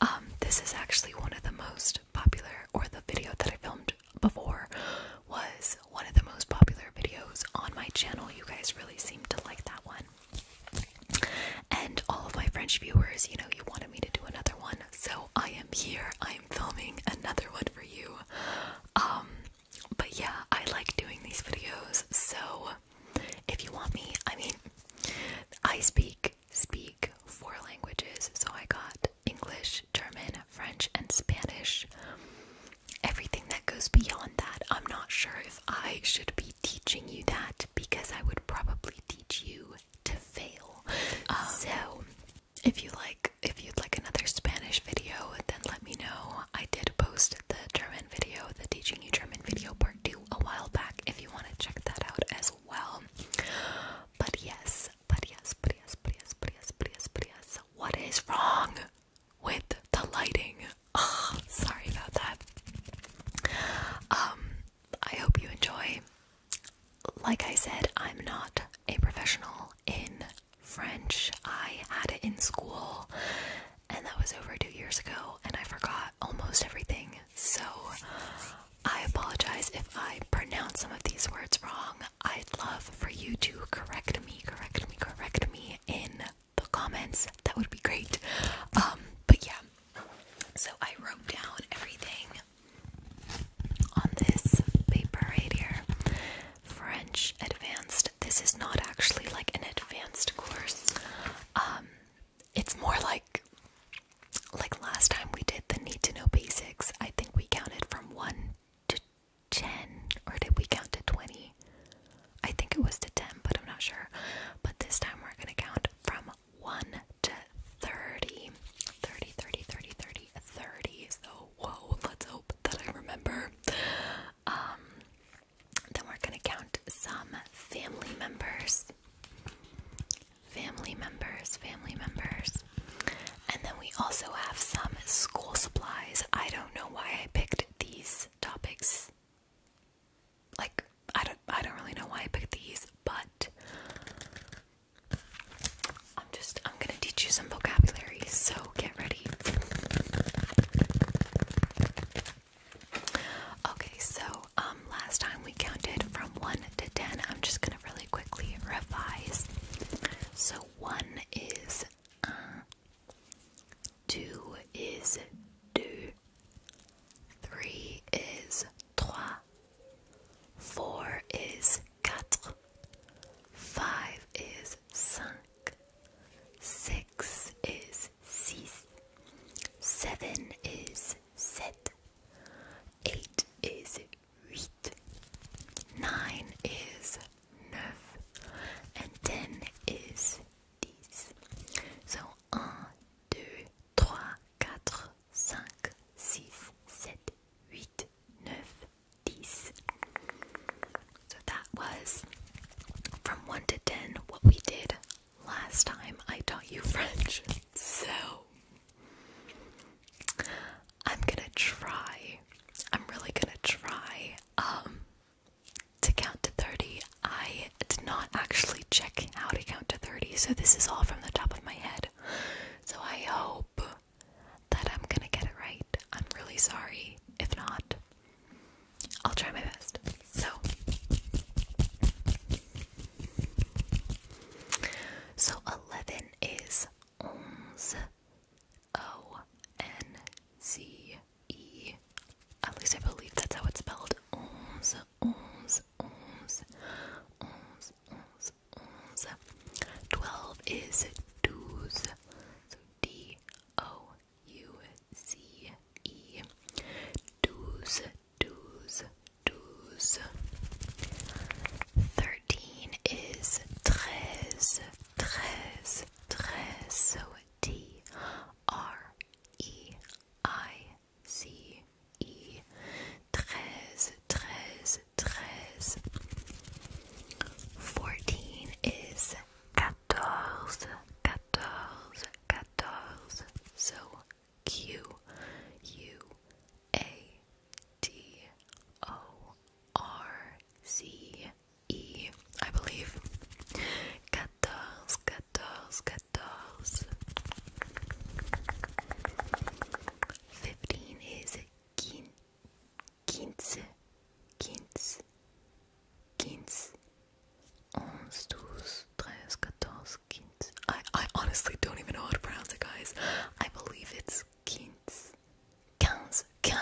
Um, this is actually one of the most popular, or the video that I filmed before was one of the most popular videos on my channel. You guys really seem to like that one. And all of my French viewers, you know, you wanted me to do another one, so I am here. I am filming another one for you. Um, but yeah, I like doing these videos, so if you want me, I mean, I speak speak four languages, so I got English, German, French, and Spanish. Everything that goes beyond that, I'm not sure if I should be teaching you that because I would probably teach you to fail. Um, so, if you like, if you'd like another Spanish video, then let me know. I did post the German video, the teaching you German video part two, a while back. If you want to check that out as well well. But yes, but yes, but yes, but yes, but yes, but yes, but yes. What is wrong with the lighting? sorry about that. Um, I hope you enjoy. Like I said, I'm not a professional in French. I had it in school and that was over two years ago and I forgot almost everything so I apologize if I pronounce some of these words wrong. I'd love for you to correct me, correct me, correct me in the comments. That would be great. Um, but yeah, so I wrote down everything on this paper right here. French advanced. This is not actually like an advanced course. Um, it's more like like last time we did the need to know basics, I think we counted from 1 to 10, or did we count to 20? I think it was to 10, but I'm not sure. But this time we're going to count from 1 to 30. 30, 30, 30, 30, 30. So, whoa, let's hope that I remember. Um, then we're going to count some family members family members, family members. And then we also have some school supplies. I don't know why I picked these topics. Like I don't I don't really know why I picked these, but I'm just I'm going to teach you some vocabulary, so get ready. Okay, so um, last time we counted from 1 to 10. I'm just going to really quickly revise. So 1 is un, uh, 2 is deux, 3 is trois, 4 is quatre, 5 is cinq, 6 is six. Seven is sept. Eight is huit. Nine is neuf. And ten is dix. So un, deux, trois, quatre, cinq, six, sept, huit, neuf, dix. So that was from 1 to 10 what we did last time I taught you French, so I'm gonna try. I'm really gonna try um, to count to 30. I did not actually check how to count to 30, so this is all from the top of my head. So I hope that I'm gonna get it right. I'm really sorry if not. I'll try my best. So, so 11 is ONZE. O N Z E. At least I believe that's how it's spelled. Ons, ons, ons, ons, ons, ons. Twelve is douze. So D O U Z E. d o u c e. douze douze, douze. Thirteen is treize, treize, treize. So T R E I C E. Treize, treize, treize. Fourteen is quatorze, quatorze, quatorze. So Q U A T O R C E, I believe. Quatorze, quatorze, quatorze. Fifteen is quince, quince, quince, quince. 11, 12, 13, 14, 15. I, I honestly don't even know how to pronounce it, guys. I believe it's 15. 15, 15.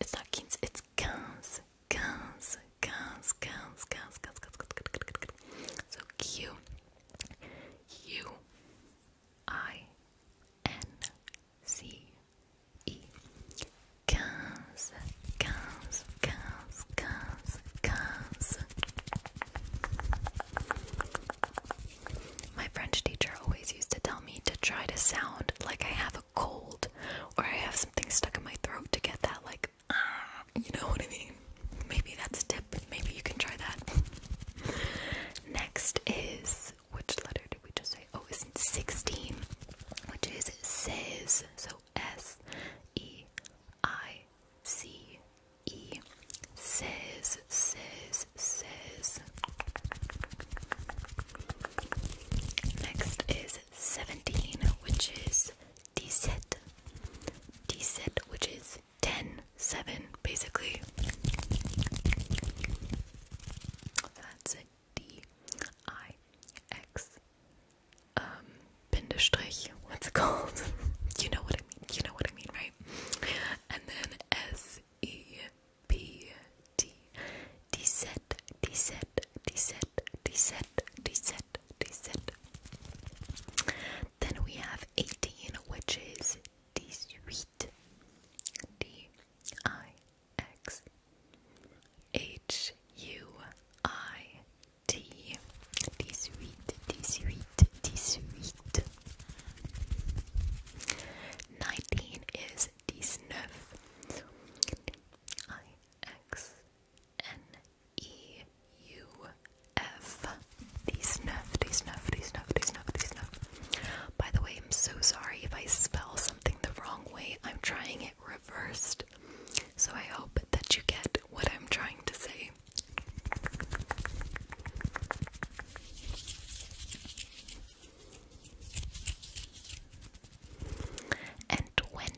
It's not 15, it's 15. 15, 15, 15, 15, 15, 15. So Q U I N C E. 15, 15, 15. Cars, cars, My French teacher always used to tell me to try to sound like I have a cold or I have something stuck in my throat to get that, like, ah, you know what I mean? Maybe that's a tip. Maybe you can try that. Next is, which letter did we just say? Oh, it's 16, which is says. So S E I C E says says says. Next is seventeen, which is D set. D set, which is 10, 7, basically. That's a D I X um, Bindestrich, what's it called? you know what I mean, you know what I mean, right? And then S E P T Then we have 18, which is D I X H U I tea, tea sweet, tea sweet, tea sweet. 19 is Diesneuf. I X N E U F. Diesneuf, Diesneuf, Diesneuf, Diesneuf, Diesneuf. By the way, I'm so sorry if I spell something the wrong way. I'm trying it reversed. So I hope that you get what I'm trying to say. And 20,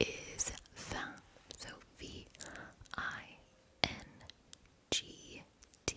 is VIN. So V I N G T.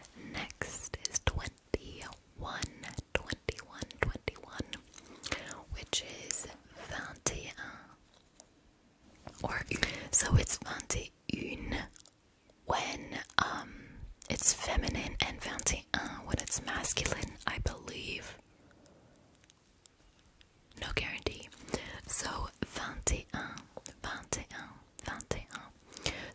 Next is 21, 21, 21, which is 21. Or so it's un when um it's feminine and un when it's masculine, I believe. No guarantee. So 21, un.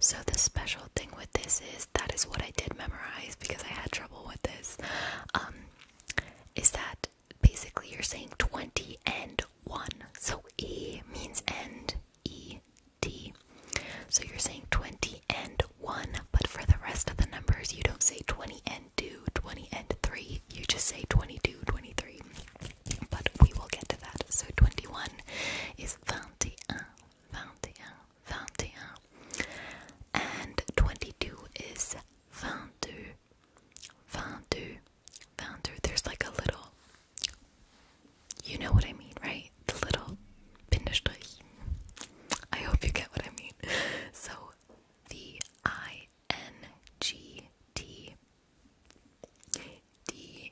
So the special thing with this is that is what I did memorize because I had trouble with this. Um, is that basically you're saying 20 and 1. So E means end, E, D. So you're saying 20 and 1, but for the rest of the numbers, you don't say 20 and 2, 20 and 3. You just say 22, 23 but we will get to that. So 21 is 21, 21, 21. And 22 is 22, 22, 22. There's like a little, you know what I mean, right? The little Bindestrich. I hope you get what I mean. So the I N G T D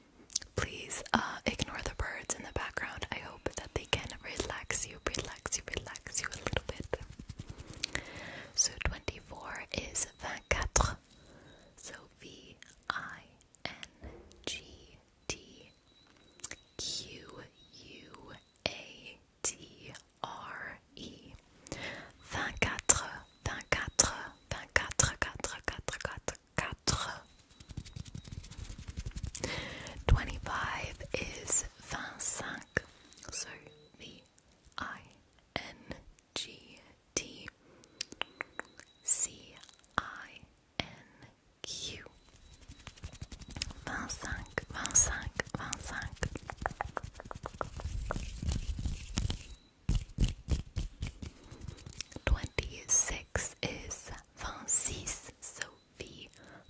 Please uh, ignore the birds in the background. I hope that they can relax you, relax you, relax you a little bit. So 24 is vingt quatre. So V I N G T Q U A T R E. 24, 24, 24, quatre, 24, quatre. Twenty five is vingt cinq. So V I N G T C I N Q. Vingt cinq, vingt cinq, vingt cinq. Twenty six is vingt-six, so V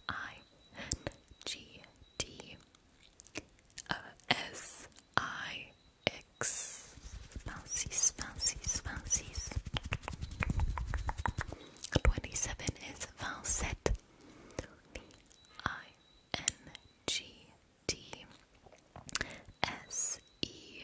I N G T S I X. Vingt-six, vingt-six, vingt-six. Twenty seven is vingt-sept. V I N G T S E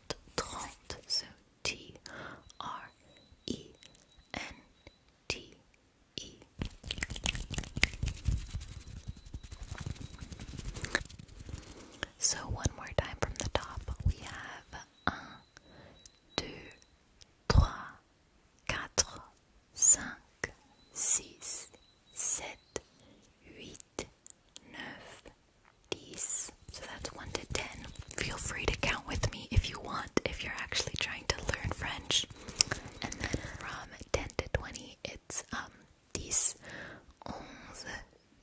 trente, So T R E N T E. So one more time from the top, we have un, 8, 9, So that's 1 to 10. Feel free to count with me if you want, if you're actually trying to learn French. And then from 10 to 20, it's um, 10, 11,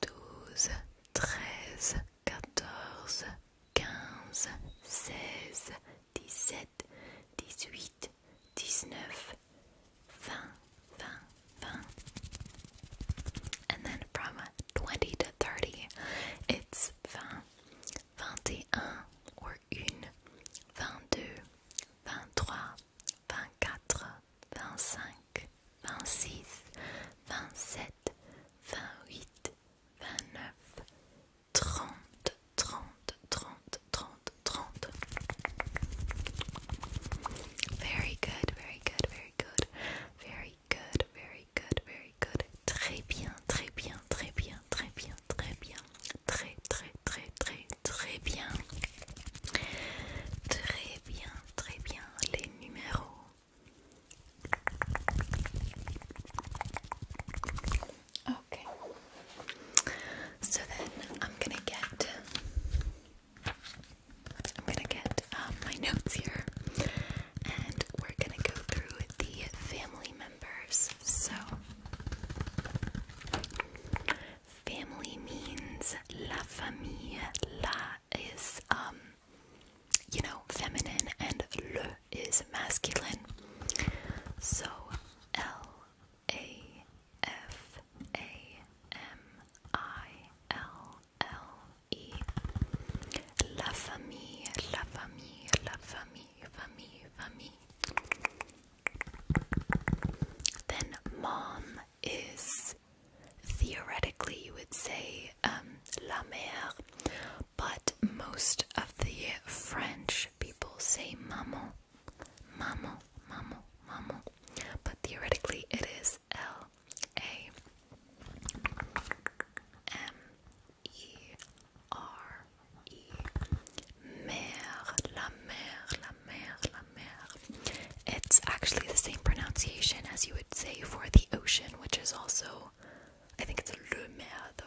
12, 13, 14, 15, 16, 17, 18, 19, 20, And then from 20 to 30, it's 20, 21 or 1, 22, 23, 24, 25, 26, 27, 28, 29, 30, 30, 30, 30, 30. Very good, very good, very good, very good, very good, very good. Très bien, très bien, très bien, très bien, très bien, très, très, très, très, très bien. Très bien, très bien, les numéros. Okay. So then I'm gonna get I'm gonna get um, my notes here and we're gonna go through the family members. So, family means la famille. La is, um, you know, feminine and le is masculine. So, L A F A M I L L E. La famille, la famille, la famille, famille, famille. Then mom is theoretically you would say um, la mère, but most of the French people say maman, maman, maman, maman but theoretically it is L A M E R E. Mer, la mer, la mer, la mer. It's actually the same pronunciation as you would say for the ocean, which is also, I think it's le mer though.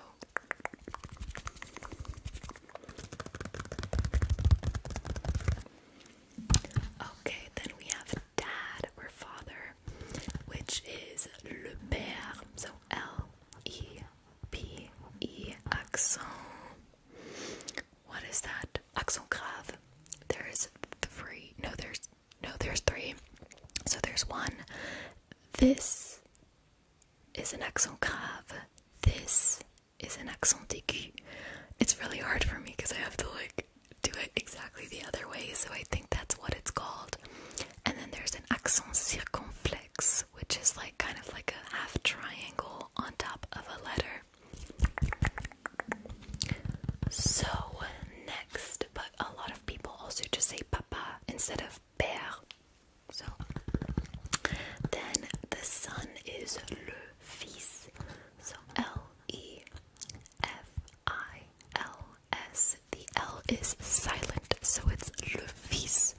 Okay, then we have dad or father, which is le père. So L E P E accent. What is that? Accent grave. There's three. No, there's no, there's three. So there's one. This is an accent grave. This is an accent It's really hard for me because I have to like do it exactly the other way, so I think that's what it's called. And then there's an accent circumflex, which is like kind of like a half triangle on top of a letter. So next, but a lot of people also just say papa instead of père. So then the sun is le Fees. So L E F I L S. The L is silent, so it's le fils,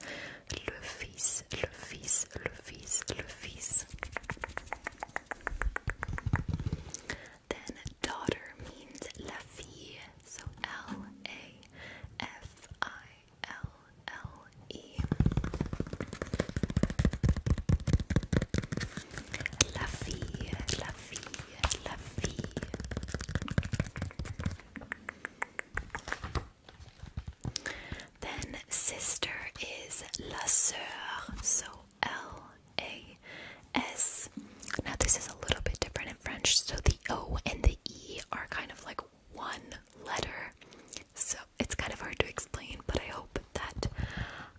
le fils, le fils, le fils, le fils. Then daughter means la fille, so L A F I L L y la fi, Then sister is la sœur, so L A S. Now this is a little bit different in French, so the O and the E are kind of like one letter so it's kind of hard to explain, but I hope that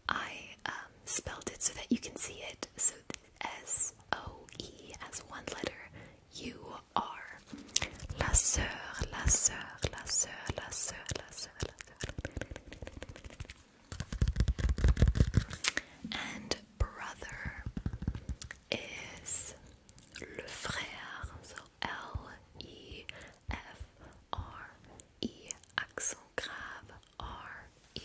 I um, spelled it so that you can see it. So S O E as one letter, U R. La sœur, la sœur, la sœur, la And brother is le frère, so L E F R E accent grave R E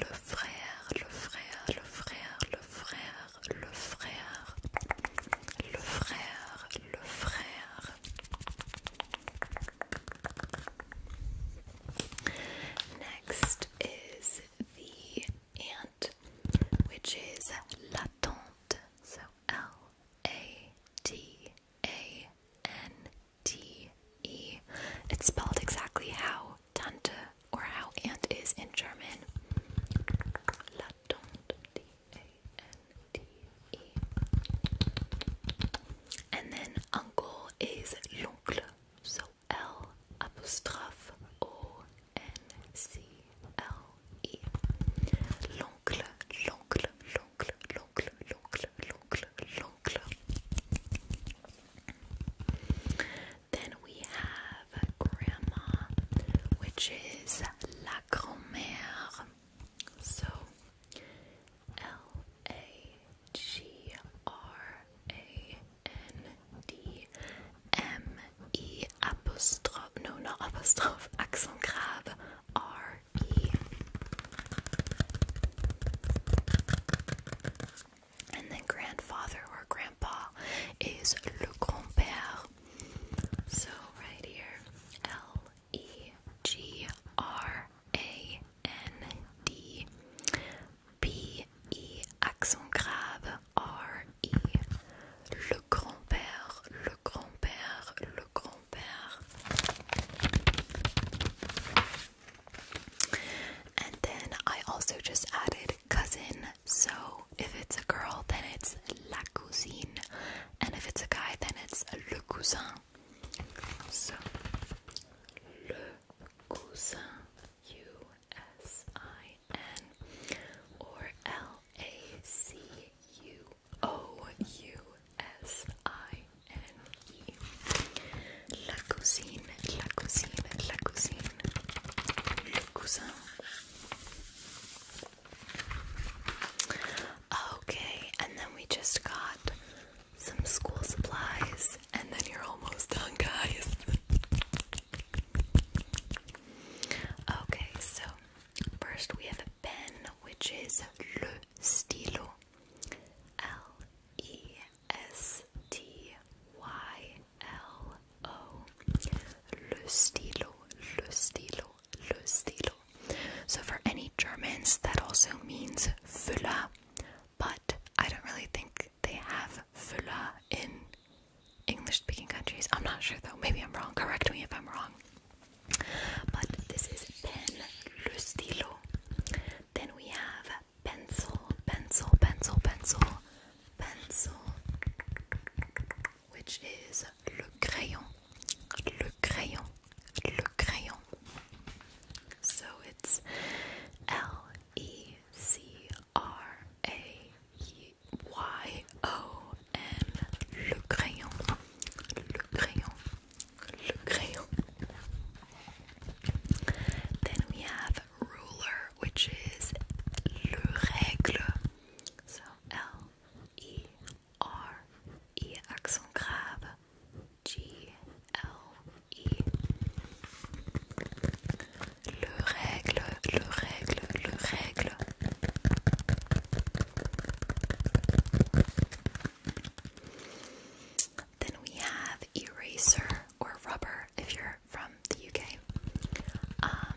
Le frère, le frère, le frère, le frère, le frère, le frère, le frère. Next is the which is l'attente. So L A T A N T E. It's spelled exactly how Tante or how aunt is in German. L'attente. D A N T E. And then uncle is l'oncle. So L apostrophe O L-O-N-C-L-E. L'oncle, l'oncle, l'oncle, l'oncle, l'oncle, l'oncle, l'oncle. Then we have grandma, which is la grand So L A G R A N D M E apostrophe, no, not apostrophe, accent grave, R E. And then grandfather or grandpa is le grand-père. So right here, L E G R A N D P E accent grave R-E, le grand-père, le grand-père, le grand-père. And then I also just added cousin, so if it's a girl, then it's la cousine, and if it's a guy, then it's le cousin. So, le cousin, U S I or L A C U O U S I N E. La cuisine, la cuisine, la cuisine, Okay, and then we just got some school supplies, and then you're almost done, guys. Okay, so first we have a pen which is Le Stylo. L E S T Y L O. Le Stylo, Le Stylo, Le Stylo. So for any Germans, that also means Füller, but I don't really think they have Füller in English speaking countries. I'm not sure though, maybe I'm wrong. Correct me if I'm wrong. But this is pen, le stylo. Then we have pencil, pencil, pencil, pencil, pencil, which is le crayon, le crayon, le crayon. So it's L E C R A Y-O-N, le crayon, le crayon, le crayon. Then we have ruler, which is le règle. So L E R E accent grave G L E le Then we have eraser or rubber if you're from the UK. Um,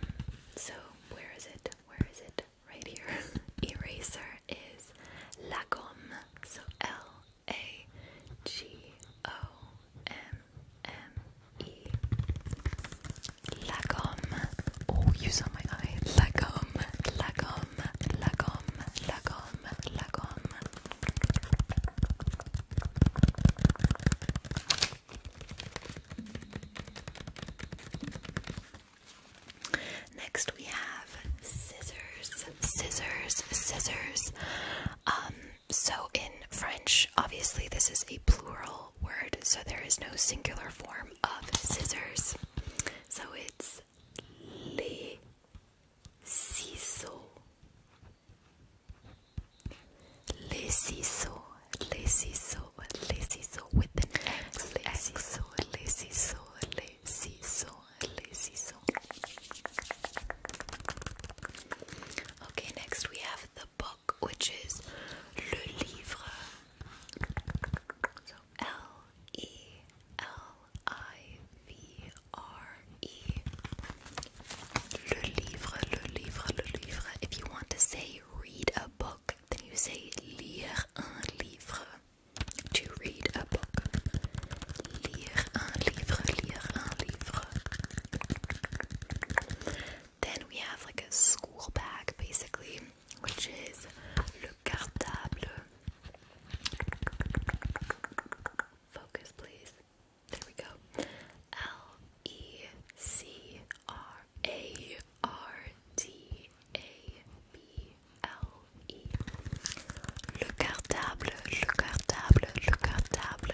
so where is it? Where is it? Right here. eraser is la gomme. So L A G O M-M-E. La Oh, you saw my eye. La gomme, la gomme, la Next we have scissors, scissors, scissors. Um, so, in French, obviously, this is a plural word, so there is no singular form of scissors. So it's les ciseaux. Les ciseaux, les ciseaux, les ciseaux with an X. Les ciseaux, les ciseaux, les ciseaux, les ciseaux. Okay, next we have the book which is Le Livre. So L E L I V R E. Le Livre, Le Livre, Le Livre. If you want to say read a book, then you say lire un livre. To read a book. Lire un livre, lire un livre. Then we have like a school bag basically, which is le cartable. Focus, please. There we go. L E C R A R T A B L E. Le cartable, le cartable, le cartable.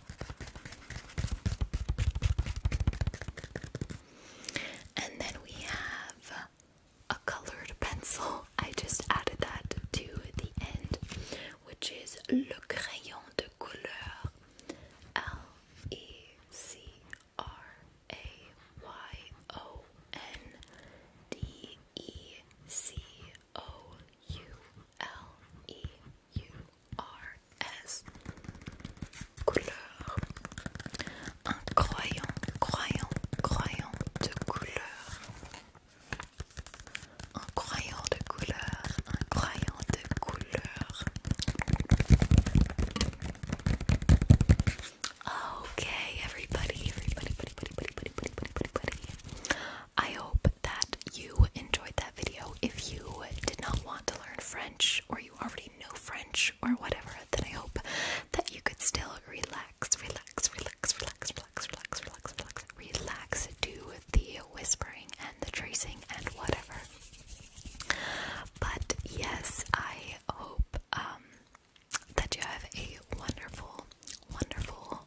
And then we have a colored pencil. I just added that to the end, which is Le Crayon de Couleur. L E C R A Y O N D E C O U L E U-R-S. Couleur. Un croyant, croyant, de couleur. Un de couleur, un de couleur. Okay, everybody, everybody, everybody, everybody, everybody, everybody, everybody. I hope that you enjoyed that video. If you did not want to learn French or you already know French or whatever, then I hope that you could still relax, relax, relax, relax, relax, relax, relax, relax, relax, do the whispering and the tracing and whatever. But yes, I hope um, that you have a wonderful, wonderful